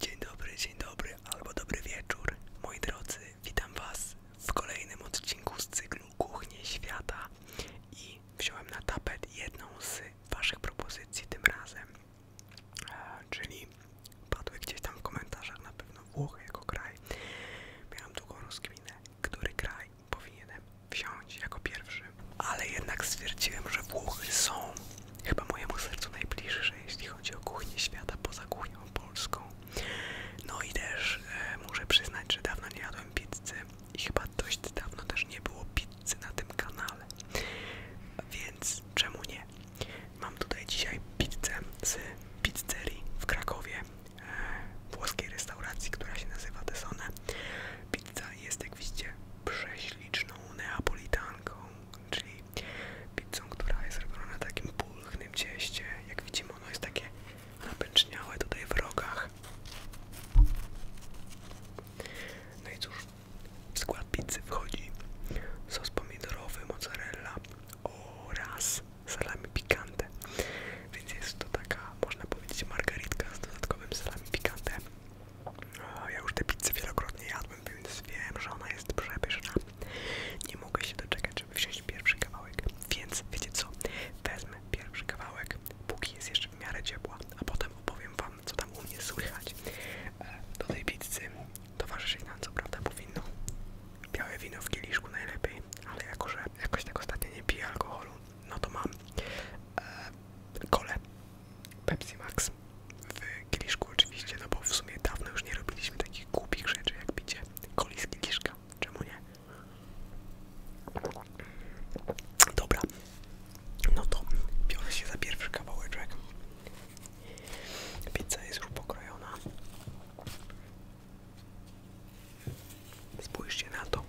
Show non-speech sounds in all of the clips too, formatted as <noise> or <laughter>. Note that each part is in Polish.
Dzień dobry, dzień dobry albo dobry wieczór. Moi drodzy, witam Was w kolejnym odcinku z cyklu Kuchnie Świata i wziąłem na tapet jedną z Waszych propozycji tym razem, e, czyli padły gdzieś tam w komentarzach na pewno Włochy jako kraj. Miałem długą rozkminę, który kraj powinienem wziąć jako pierwszy, ale jednak stwierdziłem, że Włochy są Chyba mojemu sercu najbliższe, jeśli chodzi o kuchnię świata poza kuchnią polską. No i też e, muszę przyznać, że dawno nie jadłem pizzy i chyba dość dawno też nie było pizzy na tym kanale. Więc czemu nie? Mam tutaj dzisiaj pizzę z pizzerii w Krakowie, e, włoskiej restauracji, która się nazywa Desone. Pizza jest, jak widzicie, prześliczną neapolitanką, czyli pizzą, która jest robiona na takim pulchnym cieście. Jak widzimy, ono jest takie napęczniałe tutaj w rogach. No i cóż, w skład pizzy wchodzi sos pomidorowy, mozzarella oraz salami pikante. Więc jest to taka, można powiedzieć, margaritka z dodatkowym salami pikante. Ja już tę pizzę wielokrotnie jadłem, więc wiem, że ona jest przepyszna. Nie mogę się doczekać, żeby wziąć pierwszy kawałek. Więc wiecie co? Wezmę pierwszy kawałek, póki jest jeszcze w miarę ciepła, a potem opowiem wam, co tam u mnie słychać. E, do tej pizzy Towarzyszy nam co prawda powinno białe wino w kieliszku najlepiej, ale jako, że jakoś tak ostatnio nie piję alkoholu, no to mam e, kole Pepsi Max w kieliszku oczywiście, no bo w sumie dawno już nie robiliśmy takich głupich rzeczy jak picie coli z czemu nie? Dobra, no to biorę się za pierwszy kawałeczek. Pizza jest już pokrojona. Spójrzcie na to.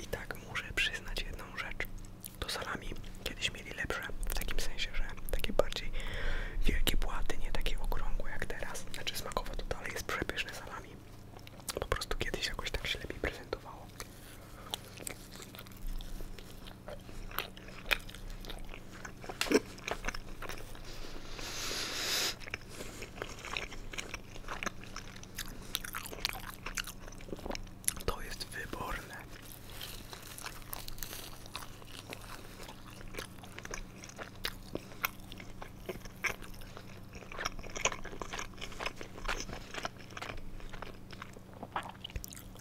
I tak muszę przyznać jedną rzecz. To salami kiedyś mieli lepsze, w takim sensie, że takie bardziej wielkie płaty, nie takiego okrągłe jak teraz. Znaczy smakowo to dalej jest przepyszne salami. Po prostu kiedyś jakoś tak się lepiej prezentowało. To jest wyborne.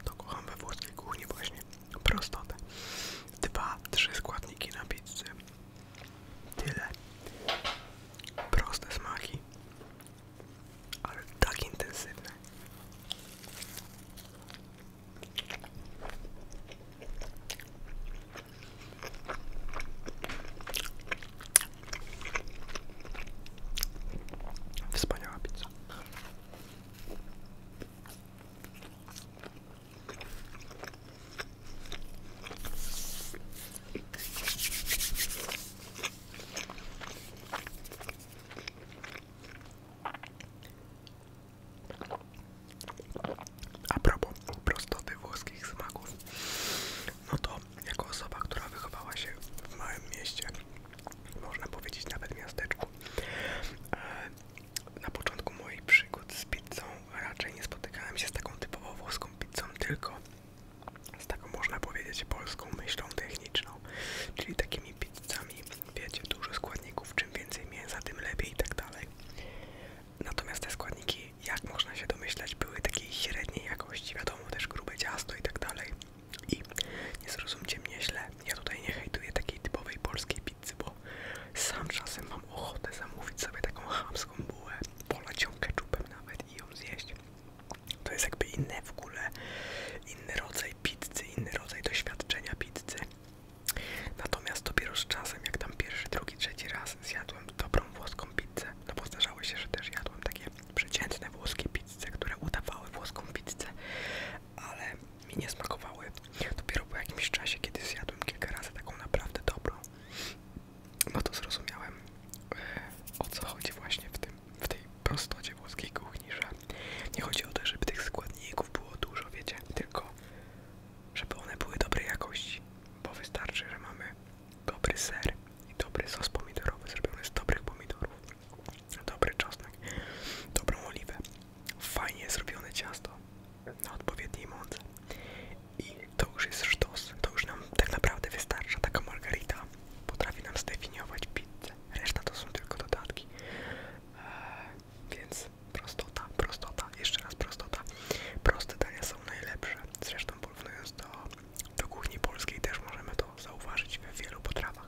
To kocham we włoskiej kuchni właśnie prostotę. Dwa, trzy składniki na pizzy. Tyle. Proste smaki, ale tak intensywne. Wspaniała pizza. A propos prostoty włoskich smaków, no to jako osoba, która wychowała się w małym mieście, można powiedzieć nawet miasteczku, e, na początku mojej przygody z pizzą raczej nie spotykałem się z taką typową włoską pizzą, tylko z taką można powiedzieć polską myślą techniczną, czyli takimi pizzami, wiecie, dużo składników, czym więcej mięsa, tym lepiej i tak dalej. Natomiast te składniki, jak można się domyślać, były takiej średniej jakości, wiadomo, też grube ciasto i tak dalej. I nie zrozumcie mnie źle, ja tutaj nie hejtuję takiej typowej polskiej pizzy bo sam czasem mam ochotę zamówić sobie taką chamską bułę, polać ją ketchupem nawet i ją zjeść. To jest jakby inny w ogóle, inny rodzaj pizzy, inny rodzaj doświadczenia pizzy. Natomiast dopiero z czasem, jak tam pierwszy, drugi, trzeci raz zjadłem dobrą włoską pizzę, no bo zdarzało się, że też jadłem takie przeciętne włoskie pizzę, które udawały włoską pizzę, ale mi nie smakowały. Dopiero po jakimś czasie, kiedy zjadłem kilka razy taką naprawdę dobrą, no to zrozumiałem e, o co chodzi właśnie w, tym, w tej prostocie włoskiej kuchni, że nie chodzi o to, żeby tych składników było dużo, wiecie, tylko żeby one były dobrej jakości, bo wystarczy, że mamy dobry ser i dobry sos pomidorowy zrobiony z dobrych pomidorów, dobry czosnek, dobrą oliwę fajnie zrobione ciasto na odpowiedniej mądze i to już jest sztos, to już nam tak naprawdę wystarcza, taka margarita potrafi nam zdefiniować pizzę, reszta to są tylko dodatki, eee, więc prostota, prostota, jeszcze raz prostota, proste dania są najlepsze, zresztą porównując do, do kuchni polskiej też możemy to zauważyć w wielu potrawach.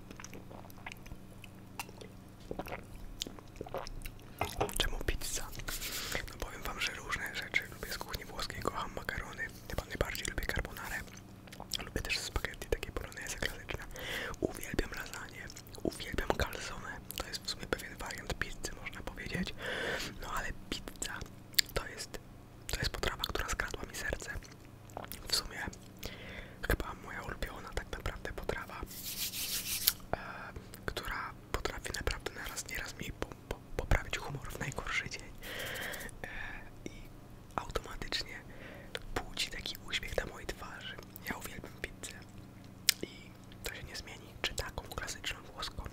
Czemu pizza? No powiem wam, że różne rzeczy lubię z kuchni włoskiej, kocham makarony, chyba najbardziej lubię carbonarę, lubię też spaghetti takie poloneze klasyczne, uwielbiam lasagne, uwielbiam calzone, to jest w sumie pewien wariant pizzy można powiedzieć, no ale pizza to jest, to jest potrawa, która skradła mi serce w sumie chyba moja ulubiona tak naprawdę potrawa, e, która potrafi naprawdę naraz nieraz mi poprawić humor w najgorszy dzień e, i automatycznie budzi taki uśmiech na mojej twarzy. Ja uwielbiam pizzę i to się nie zmieni, czy taką klasyczną włoską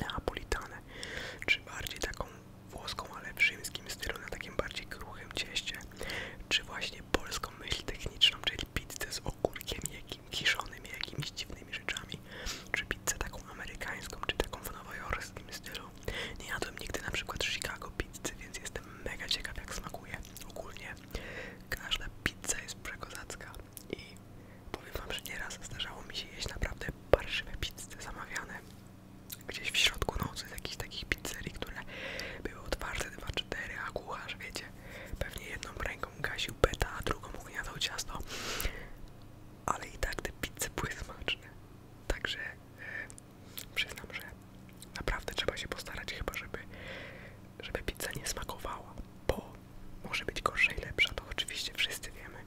neapolitanę, czy bardziej taką włoską, ale w rzymskim stylu, na takim bardziej kruchym cieście, czy właśnie polską myśl techniczną, czyli pizzę z ogórkiem jakim, kiszonym, jakimiś dziwnymi rzeczami, czy pizzę taką amerykańską, czy taką w nowojorskim stylu. Nie jadłem nigdy na przykład Chicago pizzę, więc jestem mega ciekaw jak smakuje. Ogólnie każda pizza jest przekozacka i powiem wam, że nieraz zdarzało mi się jeść naprawdę parszywe pizze zamawiane gdzieś w środku nocy z jakichś takich pizzerii, które były otwarte 2-4, a kucharz, wiecie, pewnie jedną ręką gasił beta, a drugą ugniatał ciasto. Ale i tak te pizze były smaczne. Także e, przyznam, że naprawdę trzeba się postarać chyba, żeby, żeby pizza nie smakowała, bo może być gorsza i lepsza, to oczywiście wszyscy wiemy,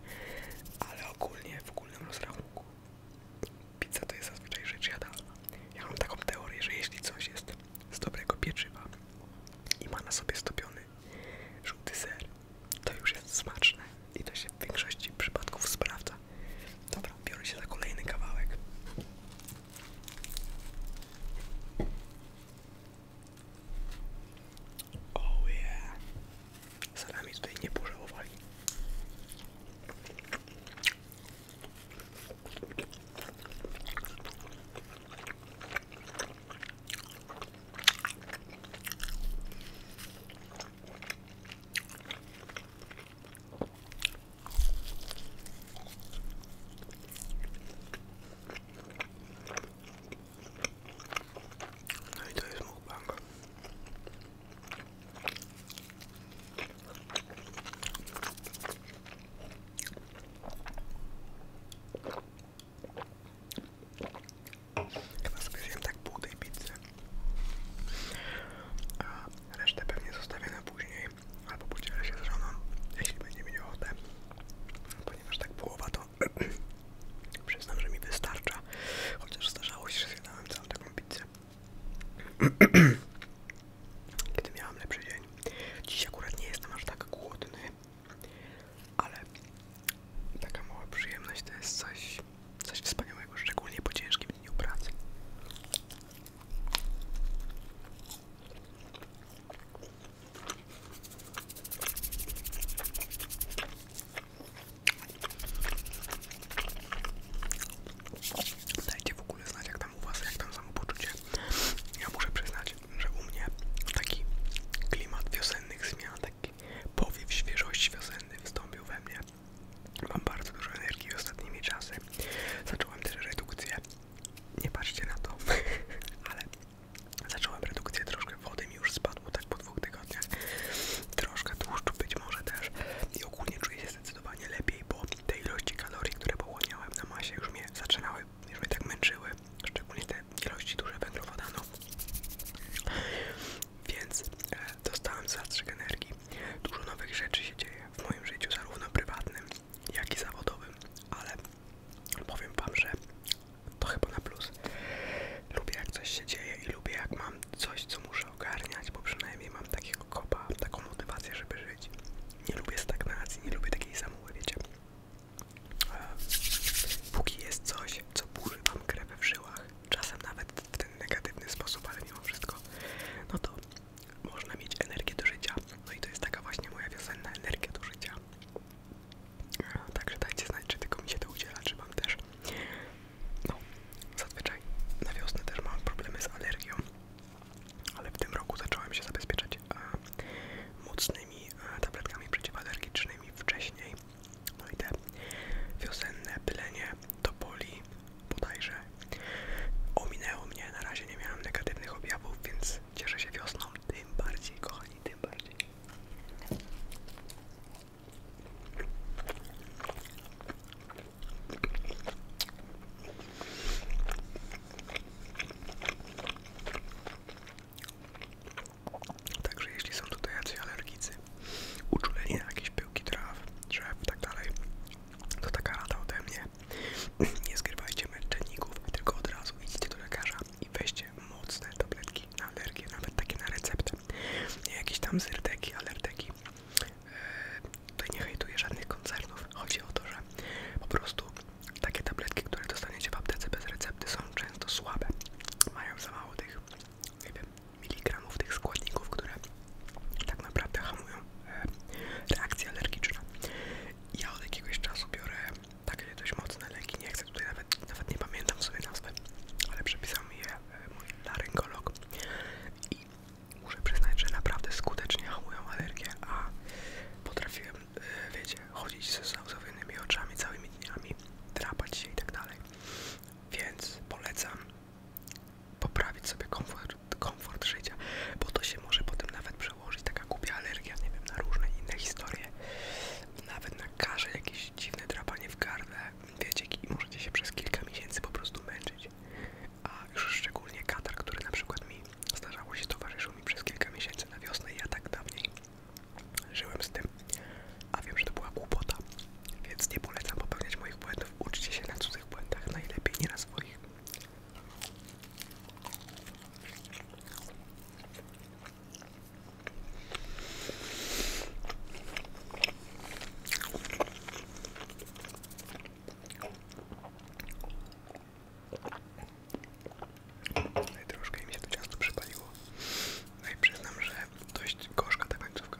ale ogólnie, w ogólnym rozrachunku Pizza to jest zazwyczaj rzecz jadalna. Ja mam taką teorię, że jeśli coś jest z dobrego pieczywa i ma na sobie stopiony żółty ser, to już jest smaczne i to się w większości przypadków sprawdza. Dobra, biorę się na kolejny kawałek. Oh yeah salami tutaj nie pożałowali. No i to jest mukbang. Chyba sobie zjem tak pół tej pizzy, a resztę pewnie zostawię na później, albo podzielę się z żoną, jeśli będzie mi ochotę, ponieważ tak połowa to <clears throat> Przyznam, że mi wystarcza, chociaż zdarzało się, że zjadałem całą taką pizzę. <clears throat> Kiedy miałem lepszy dzień. Dziś akurat nie jestem aż tak głodny, ale taka mała przyjemność to jest coś, coś wspaniałego, szczególnie po ciężkim dniu pracy. Dajcie w ogóle znać jak tam u was, jak tam samopoczucie. Ja muszę przyznać, że u mnie taki klimat wiosennych zmian, taki powiew świeżości wiosenny wstąpił we mnie. Mam bardzo dużo energii ostatnimi czasy. Zacząłem też redukcję. Nie patrzcie na to, <laughs> ale zacząłem redukcję troszkę wody mi już spadło tak po dwóch tygodniach. Troszkę tłuszczu być może też. I ogólnie czuję się zdecydowanie lepiej, bo te ilości kalorii, które pochłaniałem na masie już mnie zaczynały, już mnie tak męczyły. Szczególnie te ilości duże węglowodanów. No. Więc e, dostałem zastrzyk energii. Dużo nowych rzeczy się dzieje w moim życiu, zarówno prywatnym, jak i zawodowym, ale powiem Wam, że to chyba na plus. Lubię jak coś się dzieje i lubię jak mam coś, co muszę ogarniać, bo przynajmniej mam takiego kopa, taką motywację, żeby żyć. Nie lubię stagnacji, nie lubię takiej samoły, wiecie. E, póki jest coś, co burzy mam krew w żyłach, czasem nawet w ten negatywny sposób, ale mimo wszystko, no to można mieć energię do życia. No i to jest taka właśnie moja wiosenna energia do życia. Także dajcie znać, czy tylko mi się to udziela, czy wam też. No, zazwyczaj na wiosnę też mam problemy z alergią, ale w tym roku zacząłem się zabezpieczać e, mocnymi e, tabletkami przeciwalergicznymi wcześniej. No i te wiosenne pylenie topoli bodajże ominęło mnie, na razie nie miałem negatywnych objawów, więc cieszę się wiosną, tym bardziej kochani, tym bardziej. Także jeśli są tutaj jacyś alergicy, uczuleni na jakieś pyłki traw, drzew i tak dalej, to taka rada ode mnie. <laughs> Nie zgrywajcie męczenników, tylko od razu widzicie, do lekarza i weźcie mocne tabletki na alergię, nawet takie na receptę. Nie jakieś tam zyrteki, alerteki. Yy, tutaj nie hejtuję żadnych koncernów. Chodzi o to, że po prostu takie tabletki, które dostaniecie w aptece bez recepty są często słabe. Mają za mało tych, nie miligramów tych składników, które tak naprawdę hamują e, reakcje alergiczne. Ja od jakiegoś czasu biorę takie dość mocne leki, nie chcę tutaj nawet, nawet nie pamiętam sobie nazwy, ale przepisał je e, mój laryngolog i muszę przyznać, że naprawdę skutecznie hamują alergię, a potrafiłem, e, wiecie, chodzić ze zauzowionymi oczami całymi dniami, drapać się i tak dalej, więc polecam poprawić sobie komfort, komfort życia, bo to się może potem nawet przełożyć, taka głupia alergia, nie wiem, na różne inne historie, nawet na nakaże jakieś dziwne drapanie w gardle, wiecie, i możecie się przez kilka miesięcy po prostu męczyć. A już szczególnie katar, który na przykład mi zdarzało się towarzyszył mi przez kilka miesięcy na wiosnę, ja tak dawniej żyłem z tym, a wiem, że to była głupota, więc nie polecam popełniać moich błędów. Uczcie się na cudzych błędach, najlepiej nie na swoich. No i troszkę mi się to ciasto przypaliło. No i przyznam, że dość gorzka ta końcówka.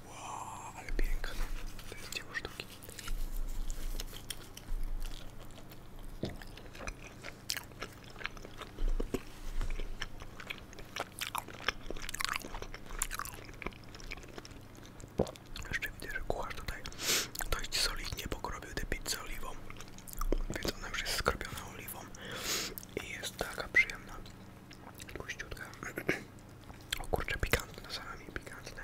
Wow, ale piękne. To jest dzieło sztuki. Jeszcze widzę, że kucharz tutaj dość solidnie pokrobił tę pizzę oliwą, więc ona już jest skrobiona oliwą i jest taka przyjemna. Tłuściutka. <clears throat> O kurczę, pikantne salami, pikantne.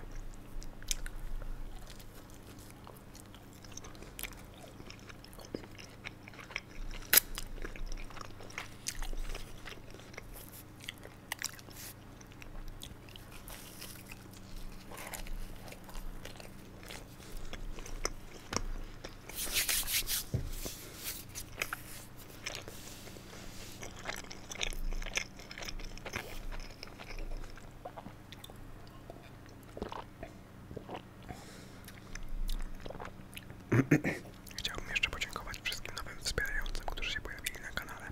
<clears throat> Chciałbym jeszcze podziękować wszystkim nowym wspierającym, którzy się pojawili na kanale.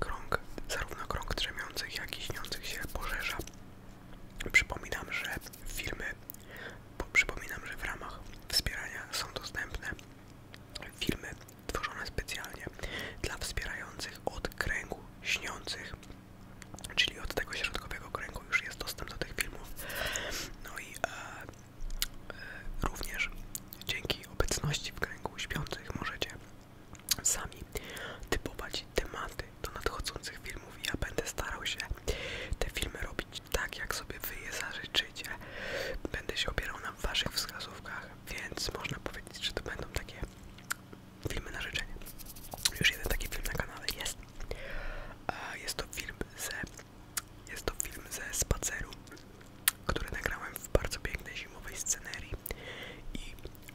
Krąg, zarówno krąg drzemiących, jak i śniących się poszerza. Przypominam, że filmy, przypominam, że w ramach wspierania są dostępne Filmy tworzone specjalnie dla wspierających od kręgu śniących, czyli od tego środkowego kręgu już jest dostęp do tych filmów. No i e, e, również dzięki obecności w kręgu śpiących możecie sami typować tematy do nadchodzących filmów. Ja będę starał się te filmy robić tak, jak sobie wy je Będę się opierał na waszych wskazówkach, więc można powiedzieć, że to będą takie filmy na życzenie. Już jeden taki film na kanale jest. Jest to film ze, jest to film ze spaceru, który nagrałem w bardzo pięknej zimowej scenerii i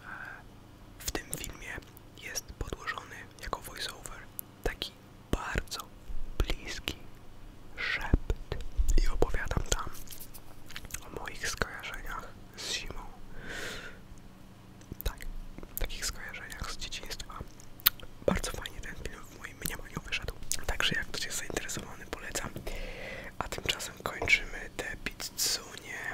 e, w tym filmie jest podłożony jako voiceover taki bardzo bliski szept i opowiadam tam o moich skojarzeniach z zimą. Tak, takich skojarzeniach z dzieciństwa. Bardzo fajnie ten film w moim mniemaniu wyszedł. Także jak ktoś jest zainteresowany, polecam. A tymczasem kończymy te pizzunie.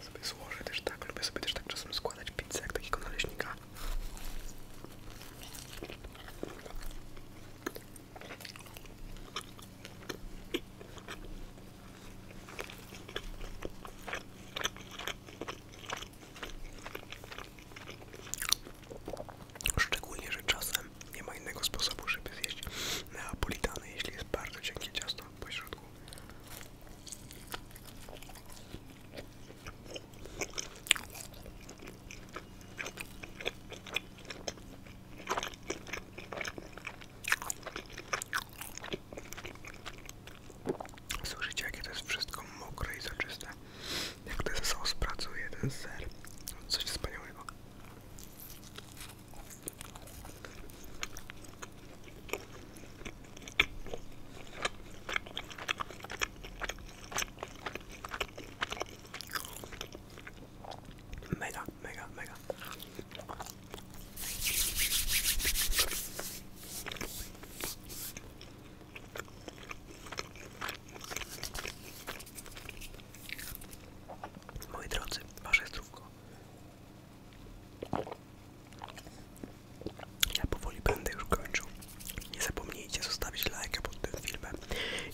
Sobie złożę też tak, lubię sobie też tak czasem składać pizzę jak takiego naleśnika Szczególnie, że czasem nie ma innego sposobu, żeby zjeść neapolitany, jeśli jest bardzo cienkie ciasto pośrodku. Słyszycie, jakie to jest wszystko mokre i soczyste? Jak ten sos pracuje, ten ser. Coś wspaniałego. Mega, mega, mega. Moi drodzy, wasze zdrówko. Ja powoli będę już kończył. Nie zapomnijcie zostawić lajka pod tym filmem,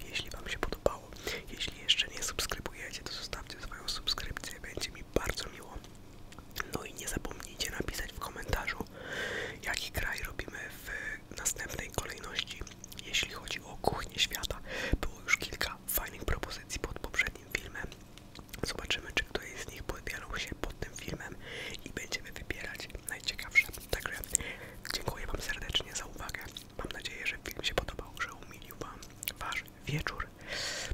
jeśli Wam się podobało. Jeśli jeszcze nie subskrybujecie, to zostawcie swoją subskrypcję, będzie mi bardzo miło. No i nie zapomnijcie napisać w komentarzu, jaki kraj robimy w następnej kolejności, jeśli chodzi o kuchnię świata. Było już kilka fajnych propozycji pod poprzednim filmem, Zobaczymy, czy ktoś z nich podbiorą się pod tym filmem i będziemy wybierać najciekawsze. Także dziękuję Wam serdecznie za uwagę. Mam nadzieję, że film się podobał, że umilił Wam Wasz wieczór.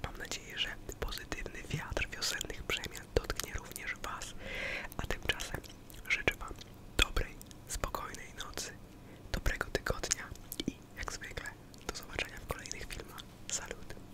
Mam nadzieję, że pozytywny wiatr wiosennych przemian dotknie również Was. A tymczasem życzę Wam dobrej, spokojnej nocy, dobrego tygodnia i jak zwykle do zobaczenia w kolejnych filmach. Salut!